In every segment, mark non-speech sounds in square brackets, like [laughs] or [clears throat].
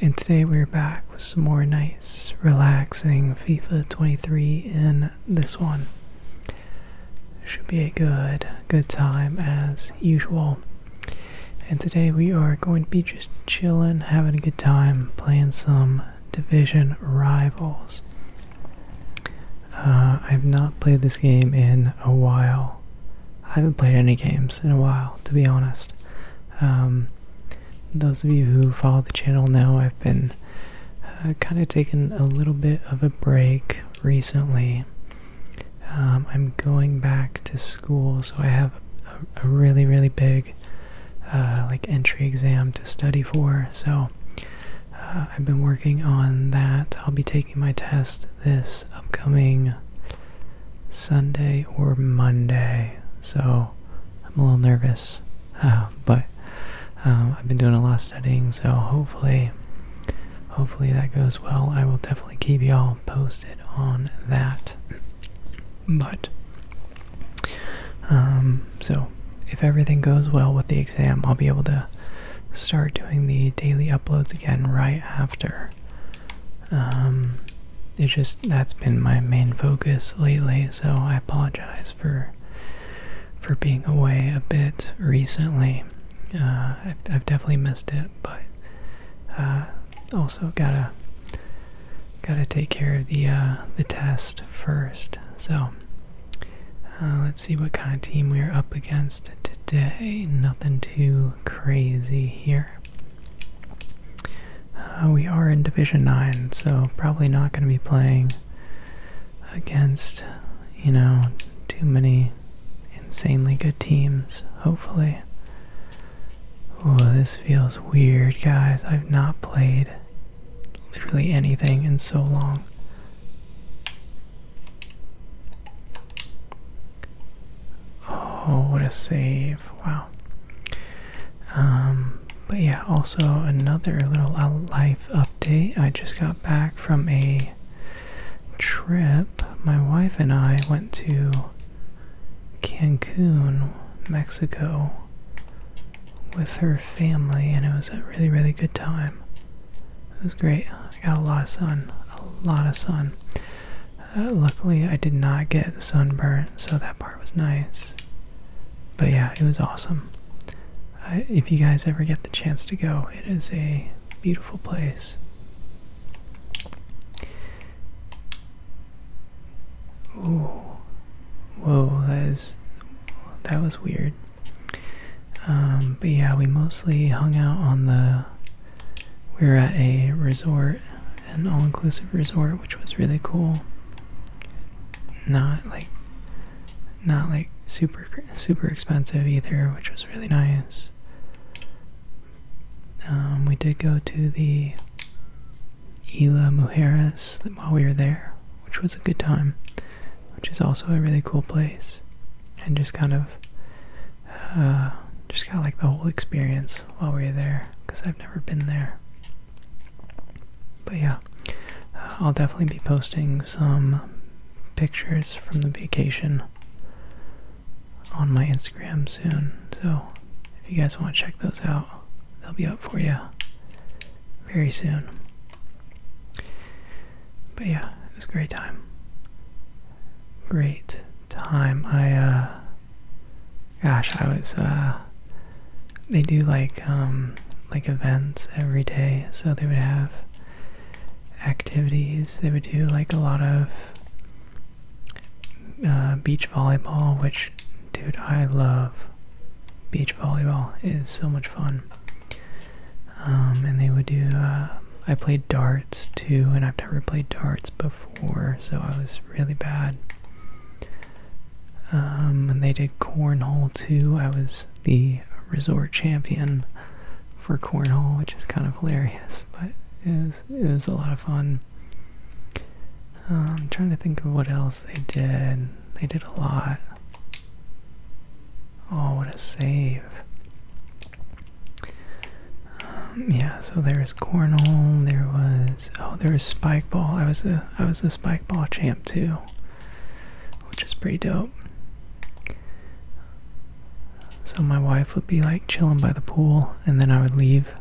And today we're back with some more nice, relaxing FIFA 23 in this one. Should be a good, good time as usual. And today we are going to be just chilling, having a good time, playing some division rivals. Uh, I've not played this game in a while. I haven't played any games in a while, to be honest. Um, those of you who follow the channel know I've been uh, kind of taking a little bit of a break recently. Um, I'm going back to school, so I have a, really, really big uh, like entry exam to study for. So uh, I've been working on that. I'll be taking my test this upcoming Sunday or Monday, so I'm a little nervous. [laughs] but um, I've been doing a lot of studying, so hopefully, hopefully that goes well. I will definitely keep y'all posted on that. [clears throat] But um, so if everything goes well with the exam, I'll be able to start doing the daily uploads again right after. Um, it's just that's been my main focus lately, so I apologize for for being away a bit recently. Uh, I've, definitely missed it, but uh, also gotta gotta take care of the uh, the test first. So uh, let's see what kind of team we're up against today. Nothing too crazy here. Uh, we are in Division 9, so probably not going to be playing against, you know, too many insanely good teams, hopefully. Oh, this feels weird, guys. I've not played literally anything in so long. Oh, what a save. Wow. Um, but yeah, also another little life update. I just got back from a trip. My wife and I went to Cancun, Mexico with her family, and it was a really, really good time. It was great. I got a lot of sun. A lot of sun. Uh, luckily, I did not get sunburned, so that part was nice. But yeah, it was awesome. if you guys ever get the chance to go, it is a beautiful place. Ooh, whoa, that is that was weird. Um, but yeah, we mostly hung out on the. We were at a resort an all-inclusive resort, which was really cool. Not like, not like super super expensive either, which was really nice. Um, we did go to the Isla Mujeres while we were there, which was a good time, which is also a really cool place, and just kind of uh, just got like the whole experience while we were there because I've never been there. But yeah, uh, I'll definitely be posting some pictures from the vacation on my Instagram soon. So if you guys want to check those out, they'll be up for you very soon. But yeah, it was great time. Great time. I uh gosh, I was uh, they do like um like events every day, so they would have activities. They would do like a lot of uh, beach volleyball, which dude, I love beach volleyball. is so much fun. Um, and they would do. Uh, I played darts too, and I've never played darts before so I was really bad. Um, and they did cornhole too. I was the resort champion for cornhole, which is kind of hilarious, [laughs] but it was it was a lot of fun. I'm um, trying to think of what else they did. They did a lot. Oh, what a save! Um, yeah, so there was Cornell, there was oh there was Spike Ball. I was the was the Spike Ball champ too. Which is pretty dope. So my wife would be like chilling by the pool and then I would leave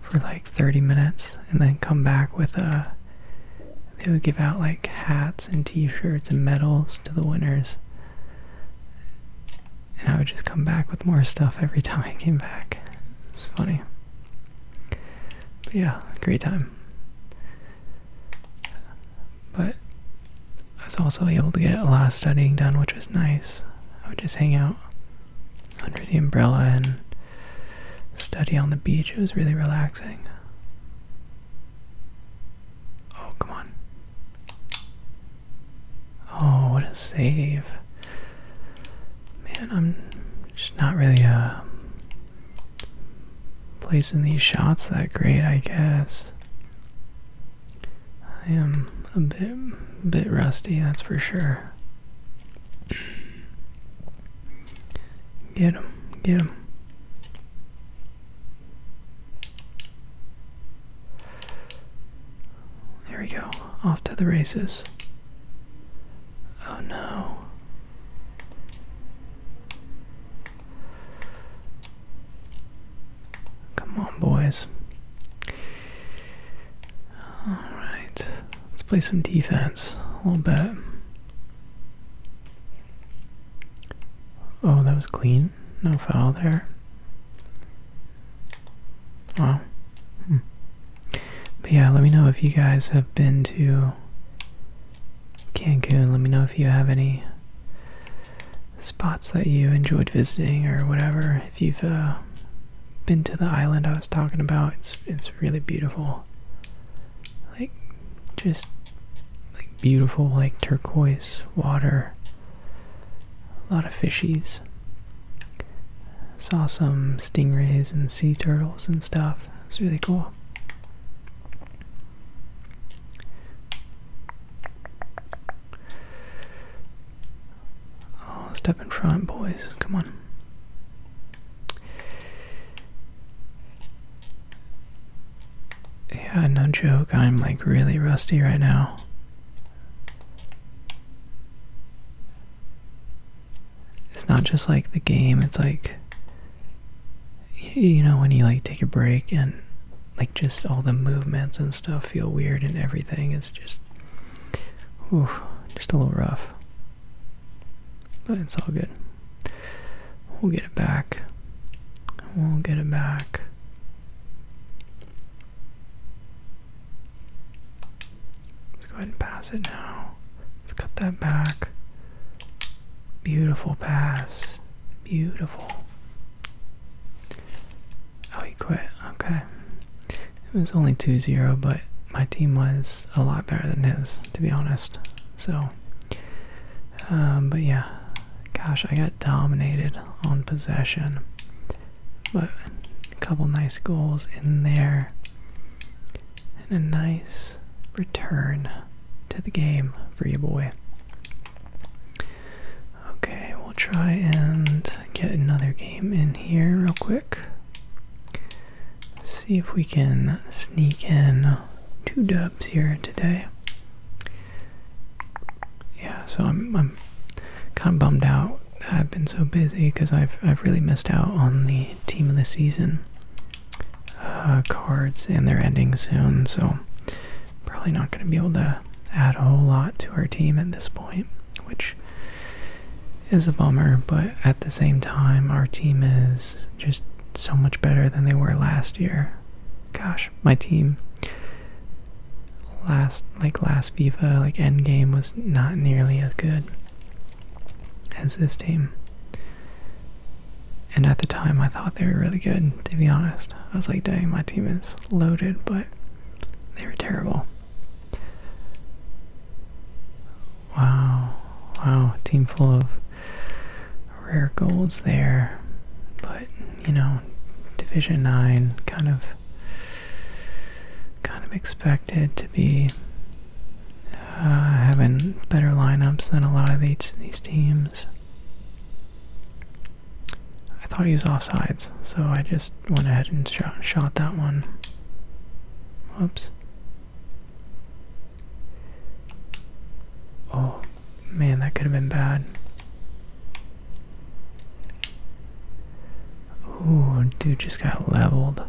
for like 30 minutes and then come back with a uh, they would give out like hats and t-shirts and medals to the winners and I would just come back with more stuff every time I came back. It's funny. But yeah, great time. But I was also able to get a lot of studying done, which was nice. I would just hang out under the umbrella and study on the beach. It was really relaxing. Oh, come on. Oh, what a save. Man, I'm just not really uh, placing these shots that great, I guess. I am a bit, bit rusty, that's for sure. Get him, get him. There we go, off to the races. Oh no. Come on, boys. Alright, let's play some defense a little bit. Oh, that was clean. No foul there. Wow. Hmm. But yeah, let me know if you guys have been to Cancun. Let me know if you have any spots that you enjoyed visiting or whatever. If you've uh, been to the island I was talking about, it's it's really beautiful. Like just like beautiful like turquoise water. A lot of fishies. Saw some stingrays and sea turtles and stuff. It's really cool. Oh, step in front, boys. Come on. Yeah, no joke. I'm like really rusty right now it's not just like the game it's like you know when you like take a break and like just all the movements and stuff feel weird and everything it's just oof, just a little rough but it's all good we'll get it back we'll get it back Let's go ahead and pass it now. Let's cut that back. Beautiful pass. Beautiful. Oh, he quit. Okay. It was only 2 0, but my team was a lot better than his, to be honest. So, um, but yeah. Gosh, I got dominated on possession. But a couple nice goals in there. And a nice return to the game for you, boy. Okay, we'll try and get another game in here real quick. See if we can sneak in two dubs here today. Yeah, so I'm, kind of bummed out I've been so busy because I've I've really missed out on the team of the season uh, cards, and they're ending soon, so probably not going to be able to add a whole lot to our team at this point, which is a bummer. But at the same time, our team is just so much better than they were last year. Gosh, my team last like last FIFA like end game was not nearly as good as this team. And at the time, I thought they were really good, to be honest. I was like, dang, my team is loaded, but they were terrible. Wow, wow, team full of rare goals there. But, you know, Division 9 kind of kind of expected to be uh, having better lineups than a lot of these teams. I thought he was offsides, so I just went ahead and shot, that one. Oops. Oh, man, that could have been bad. Ooh, dude just got leveled.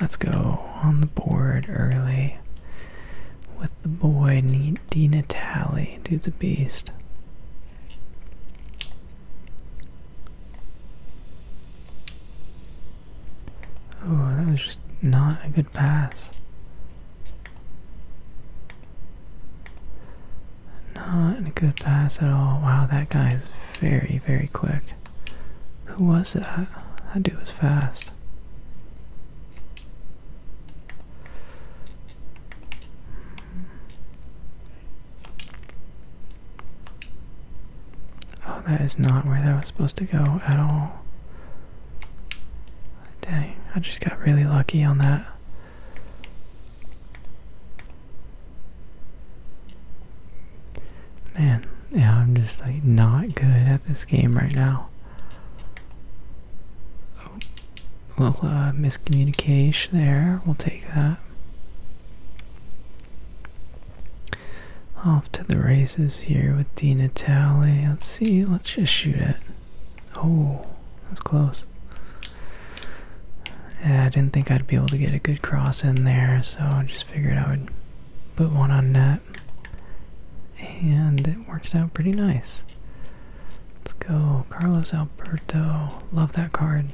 Let's go on the board early with the boy D. Natali. Dude's a beast. Oh, that was just not a good pass. Not a good pass at all. Wow, that guy is very, very quick. Who was that? That dude was fast. Oh, that is not where that was supposed to go at all. Dang, I just got really lucky on that. Man, yeah, I'm just like not good at this game right now. Oh, little uh, miscommunication there. We'll take that. Off to the races here with Dina Talley. Let's see, let's just shoot it. Oh, that's close. Yeah, I didn't think I'd be able to get a good cross in there, so I just figured I would put one on that, And it works out pretty nice. Let's go. Carlos Alberto. Love that card.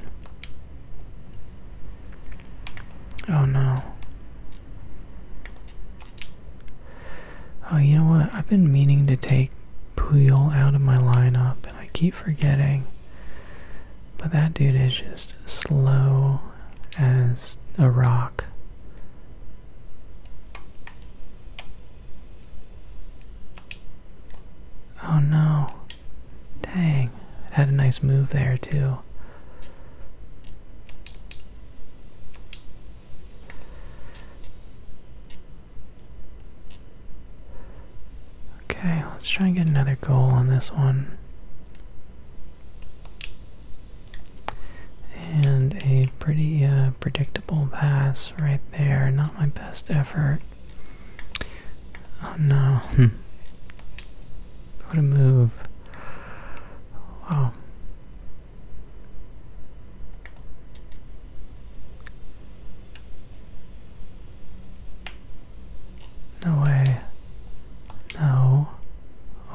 Oh no. Oh, you know what? I've been meaning to take Puyol out of my lineup, and I keep forgetting. But that dude is just slow as a rock. Oh no. Dang. It had a nice move there, too. Okay, let's try and get another goal on this one. And a pretty uh, predictable pass right there. Not my best effort. Oh no. [laughs] what a move. Wow. No way. No.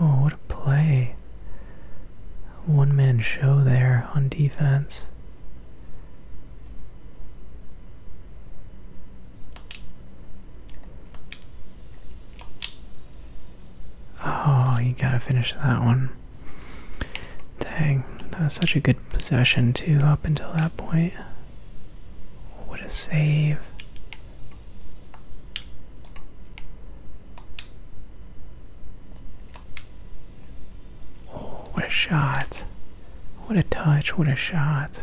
Oh, what a play. One man show there on defense. Oh, you gotta finish that one. Dang, that was such a good possession, too, up until that point. What a save. what a shot. What a touch, what a shot.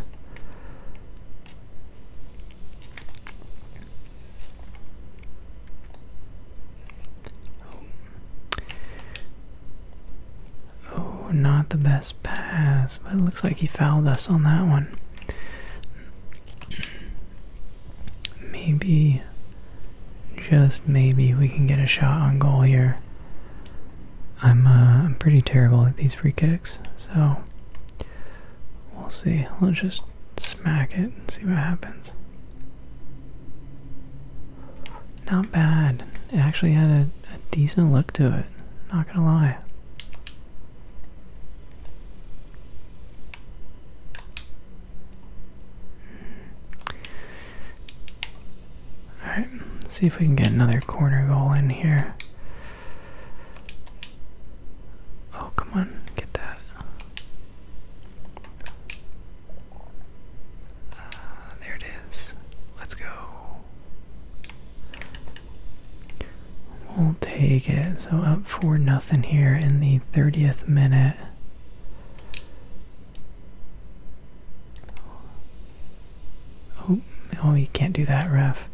Oh, not the best pass, but it looks like he fouled us on that one. Maybe, just maybe, we can get a shot on goal here. I'm uh, I'm pretty terrible at these free kicks, so we'll see. Let's just smack it and see what happens. Not bad. It actually had a, decent look to it. Not gonna lie. Alright, see if we can get another corner goal in here. Oh, come on, get that. Uh, there it is. Let's go. We'll take it. So up for nothing here in the 30th minute. Oh, oh, you can't do that, ref.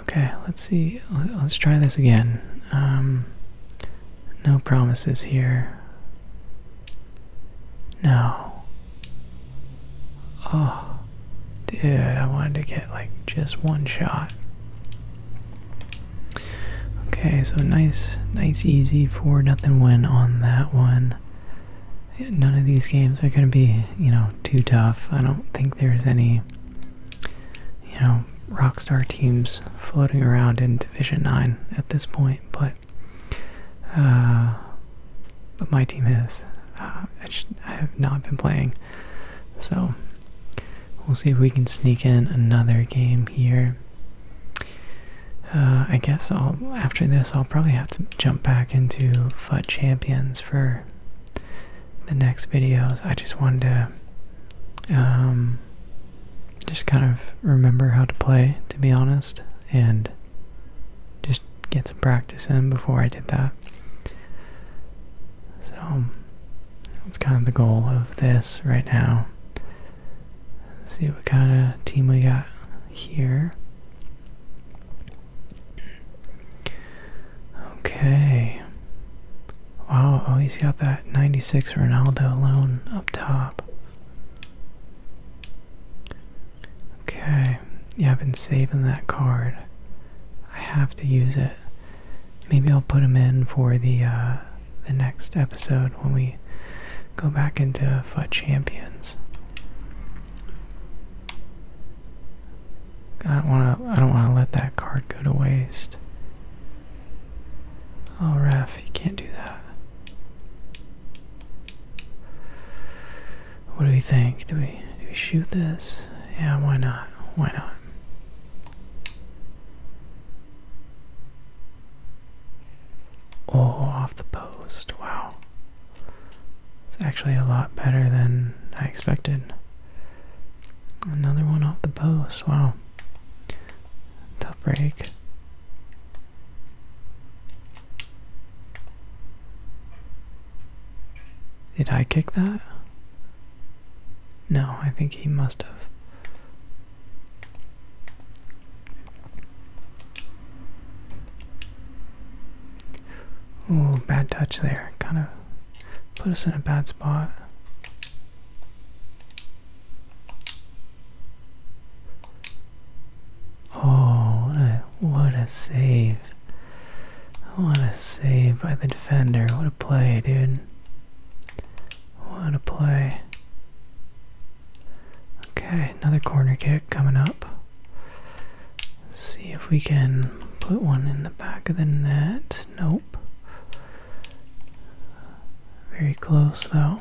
Okay, let's see. Let's try this again. Um, no promises here. No. Oh, dude, I wanted to get like just one shot. Okay, so nice, nice, easy for nothing win on that one. None of these games are going to be, you know, too tough. I don't think there's any, you know, rock star teams floating around in Division 9 at this point but uh, but my team has. Uh, I, have not been playing, so we'll see if we can sneak in another game here. Uh, I guess after this I'll probably have to jump back into FUT Champions for the next videos. I just wanted to um, just kind of remember how to play, to be honest, and just get some practice in before I did that. So that's kind of the goal of this right now. see what kind of team we got here. Okay. Wow, oh, he's got that 96 Ronaldo alone up top. Okay, yeah, I've been saving that card. I have to use it. Maybe I'll put them in for the uh, the next episode when we go back into FUT Champions. I don't want to. I don't want to let that card go to waste. Oh, Raph, you can't do that. What do we think? Do we do we shoot this? Yeah, why not? Why not? Oh, off the post. Wow. It's actually a lot better than I expected. Another one off the post. Wow. Tough break. Did I kick that? No, I think he must have. Oh, bad touch there. Kind of put us in a bad spot. Oh, what a what a save. What a save by the defender. What a play, dude. What a play. Okay, another corner kick coming up. see if we can put one in the back of the net. Nope. Very close though.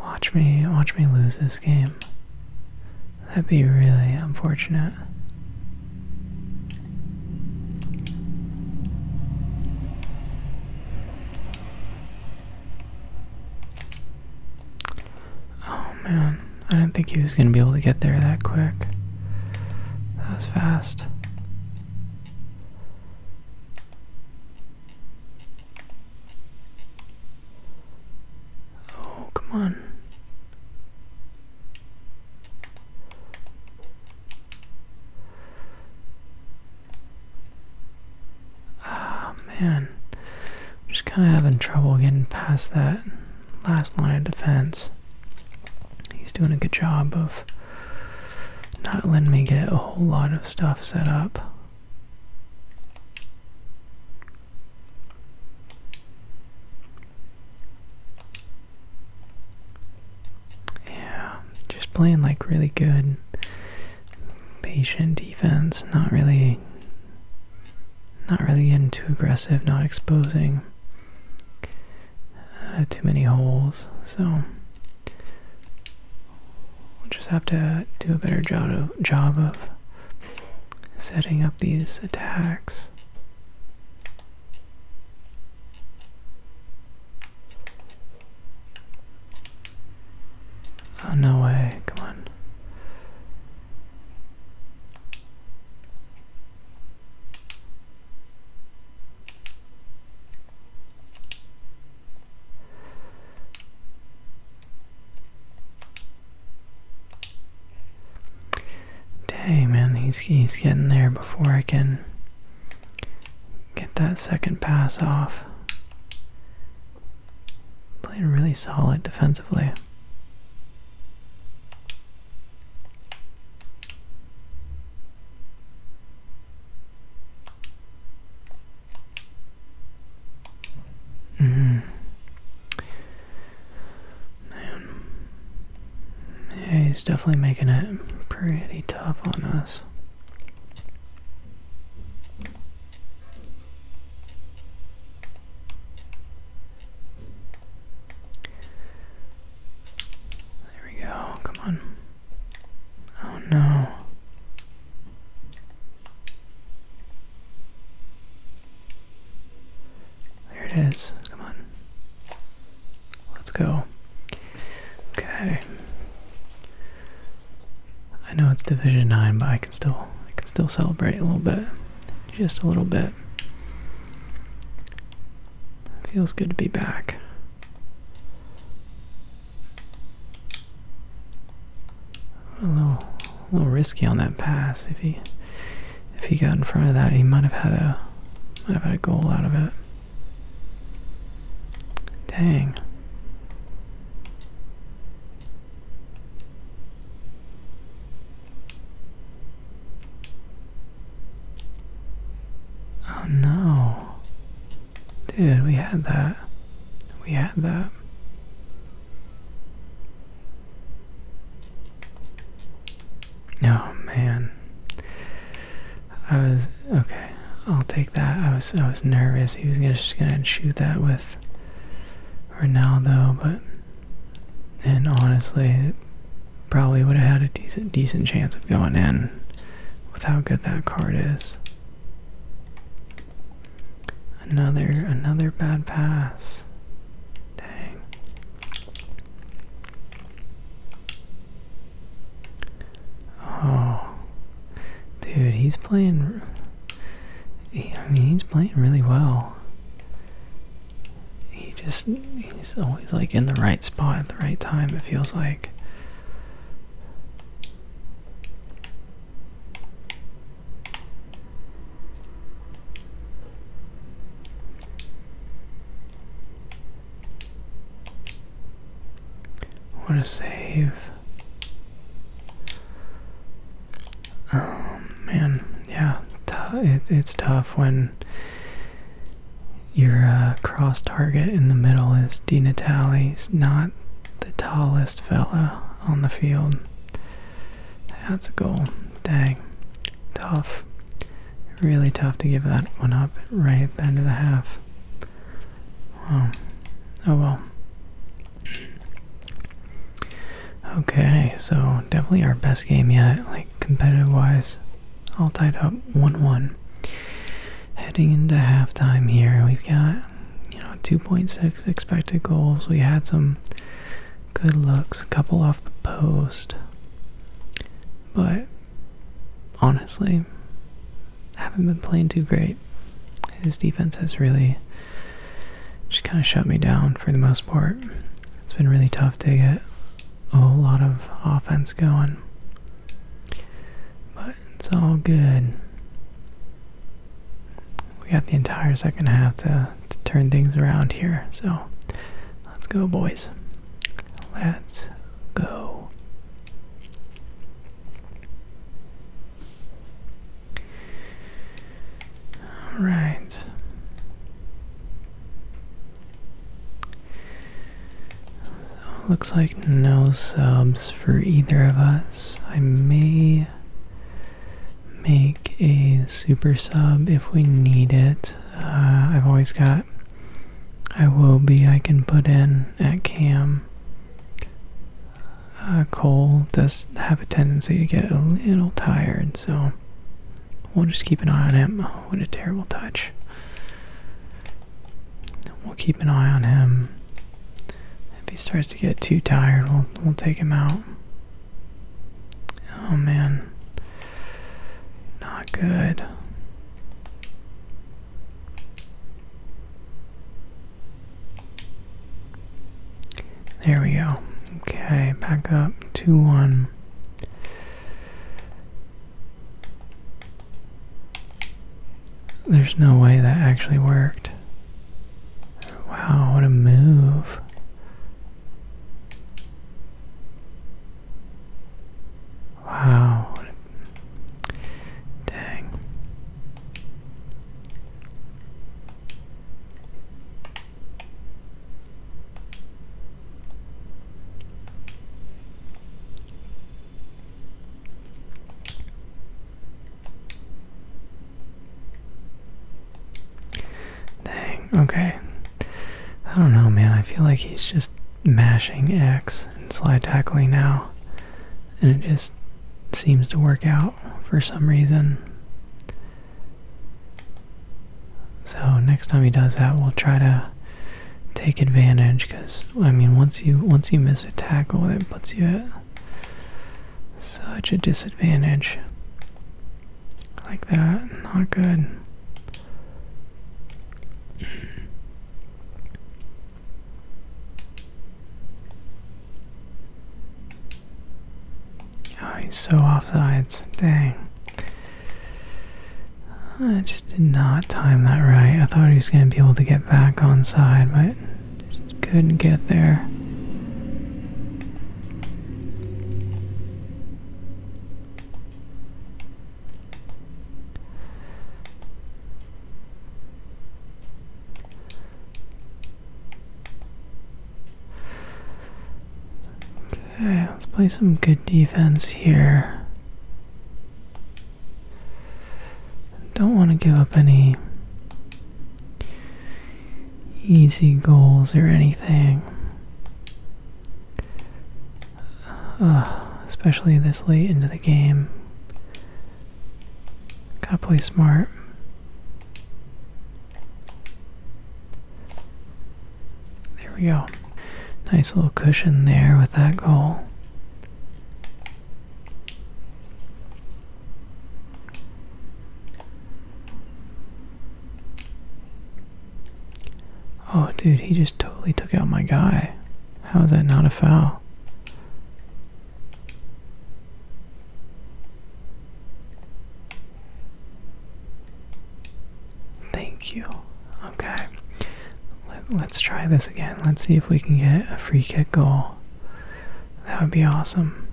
Watch me, watch me lose this game. That'd be really unfortunate. Oh man, I didn't think he was going to be able to get there that quick. That was fast. Oh, come on. Ah, oh, man. just kind of having trouble getting past that last line of defense. He's doing a good job of not letting me get a whole lot of stuff set up. Yeah, just playing like really good patient defense, not really not really getting too aggressive, not exposing uh, too many holes. So we'll just have to do a better job of setting up these attacks. Oh, no way. Come on. Dang, man, he's, he's getting there before I can get that second pass off. Played really solid defensively. Mm. Man. he's definitely making it pretty tough on us. There we go, come on. Oh no. There it is. Come on. Let's go. Okay. I know it's Division Nine, but I can still I can still celebrate a little bit, just a little bit. feels good to be back. A little, little risky on that pass. If he, if he got in front of that, he might have had a, might have had a goal out of it. Dang. Oh no. Dude, we had that. We had that. Oh man. I was okay. I'll take that. I was I was nervous he was just gonna shoot that with Ronaldo, but and honestly, it probably would have had a decent decent chance of going in with how good that card is. Another another bad pass. Dang. Oh, dude, he's playing. I mean, he's playing really well. He just, he's always like in the right spot at the right time, it feels like. What a save. Um, man, yeah, it's tough when your uh, cross target in the middle is Di Natale's not the tallest fella on the field. That's a goal. Dang. Tough. Really tough to give that one up right at the end of the half. Oh well. Okay, so definitely our best game yet, like competitive wise. All tied up 1 1. Heading into halftime here, we've got, you know, 2.6 expected goals. We had some good looks, a couple off the post. But honestly, haven't been playing too great. His defense has really just kind of shut me down for the most part. It's been really tough to get a lot of offense going. But it's all good. We got the entire second half to turn things around here. So let's go, boys. Let's go. All right. So looks like no subs for either of us. I may make a super sub if we need it. Uh, I've always got I will be I can put in at cam. Uh, Cole does have a tendency to get a little tired, so we'll just keep an eye on him. Oh, what a terrible touch. We'll keep an eye on him. If he starts to get too tired, we'll, we'll take him out. Oh man. Not good. There we go. Okay, back up 2 1. There's no way that actually worked. Wow, what a move. Wow. Dang. Dang, okay. I don't know, man. I feel like he's just mashing X and slide tackling now and it just seems to work out for some reason. So next time he does that, we'll try to take advantage because I mean once you once you miss a tackle, it puts you at such a disadvantage. Like that, not good. Oh, he's so offsides. Dang. I just did not time that right. I thought he was going to be able to get back on side, but couldn't get there. Okay, let's play some good defense here. Don't want to give up any easy goals or anything. especially this late into the game. Gotta play smart. There we go. Nice little cushion there with that goal. Oh, dude, he just totally took out my guy. How is that not a foul? Thank you. Okay. Let, us try this again. Let's see if we can get a free kick goal. That would be awesome.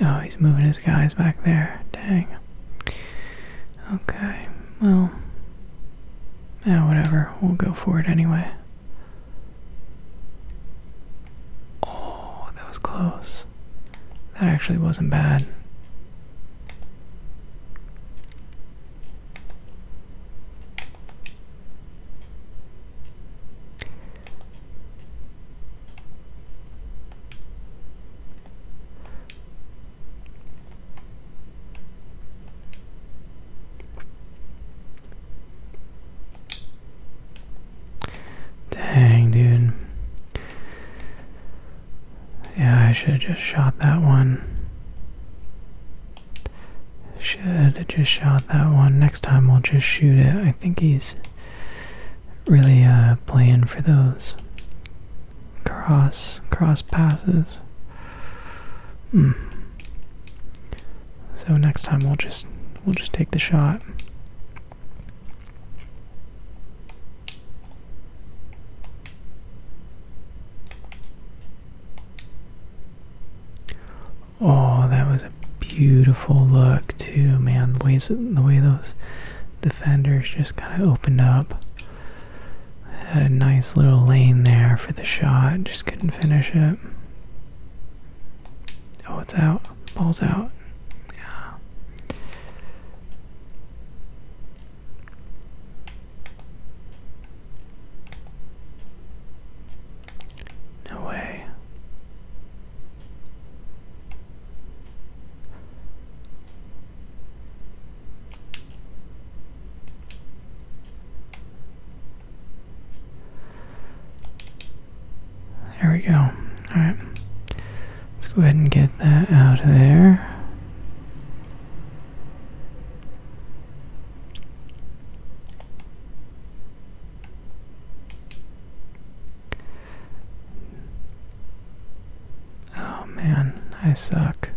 Oh, he's moving his guys back there. Dang. Okay. Well, yeah, whatever. We'll go for it anyway. Oh, that was close. That actually wasn't bad. Dang, dude. Yeah, I should have just shot that one. Should have just shot that one. Next time we'll just shoot it. I think he's really uh, playing for those cross cross passes. Hmm. So next time we'll just We'll just take the shot. Oh, that was a beautiful look too, man. The the way those defenders just kind of opened up. Had a nice little lane there for the shot. Just couldn't finish it. Oh, it's out. Ball's out. Yeah. No way. There we go. Alright. Let's go ahead and get that out of there. Oh man, I suck.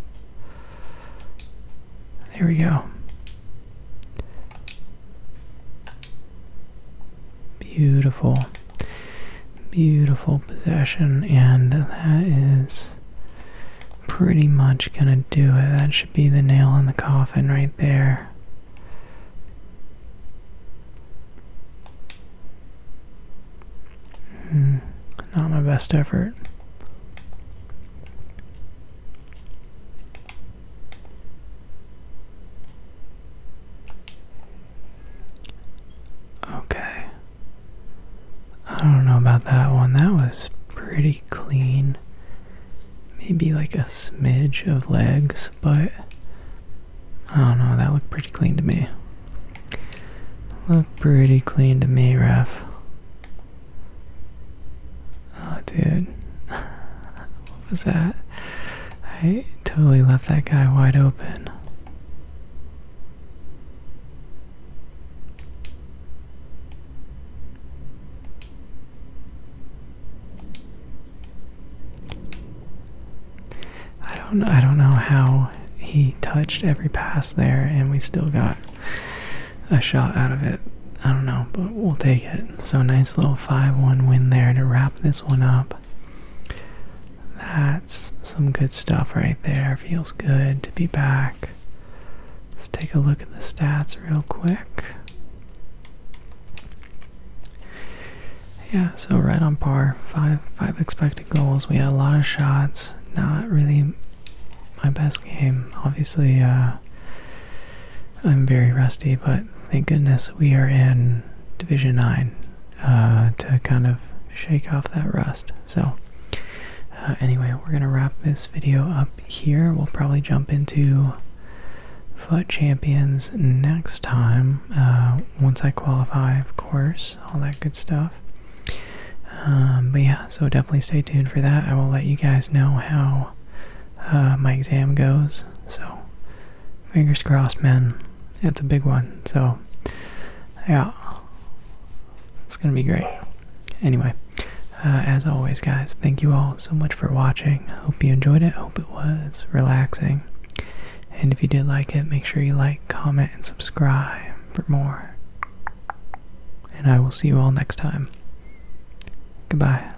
There we go. Beautiful, beautiful possession, and that is pretty much gonna do it. That should be the nail in the coffin right there. Mm, not my best effort. Okay. I don't know about that one. That was pretty clean. Maybe like a smidge of legs, but I don't know. That looked pretty clean to me. Looked pretty clean to me, ref. Oh, dude. [laughs] What was that? I totally left that guy wide open. I don't I don't know how he touched every pass there and we still got a shot out of it. I don't know, but we'll take it. So, nice little 5 1 win there to wrap this one up. That's some good stuff right there. Feels good to be back. Let's take a look at the stats real quick. Yeah, so right on par. Five five expected goals. We had a lot of shots. Not really my best game. Obviously, uh, I'm very rusty, but thank goodness we are in Division 9 uh, to kind of shake off that rust. So, uh, anyway, we're going to wrap this video up here. We'll probably jump into Foot Champions next time, uh, once I qualify, of course, all that good stuff. Um, but yeah, so definitely stay tuned for that. I will let you guys know how my exam goes. So, Fingers crossed, man. It's a big one. So, yeah. It's going to be great. Anyway, uh, as always, guys, thank you all so much for watching. Hope you enjoyed it. Hope it was relaxing. And if you did like it, make sure you like, comment, and subscribe for more. And I will see you all next time. Goodbye.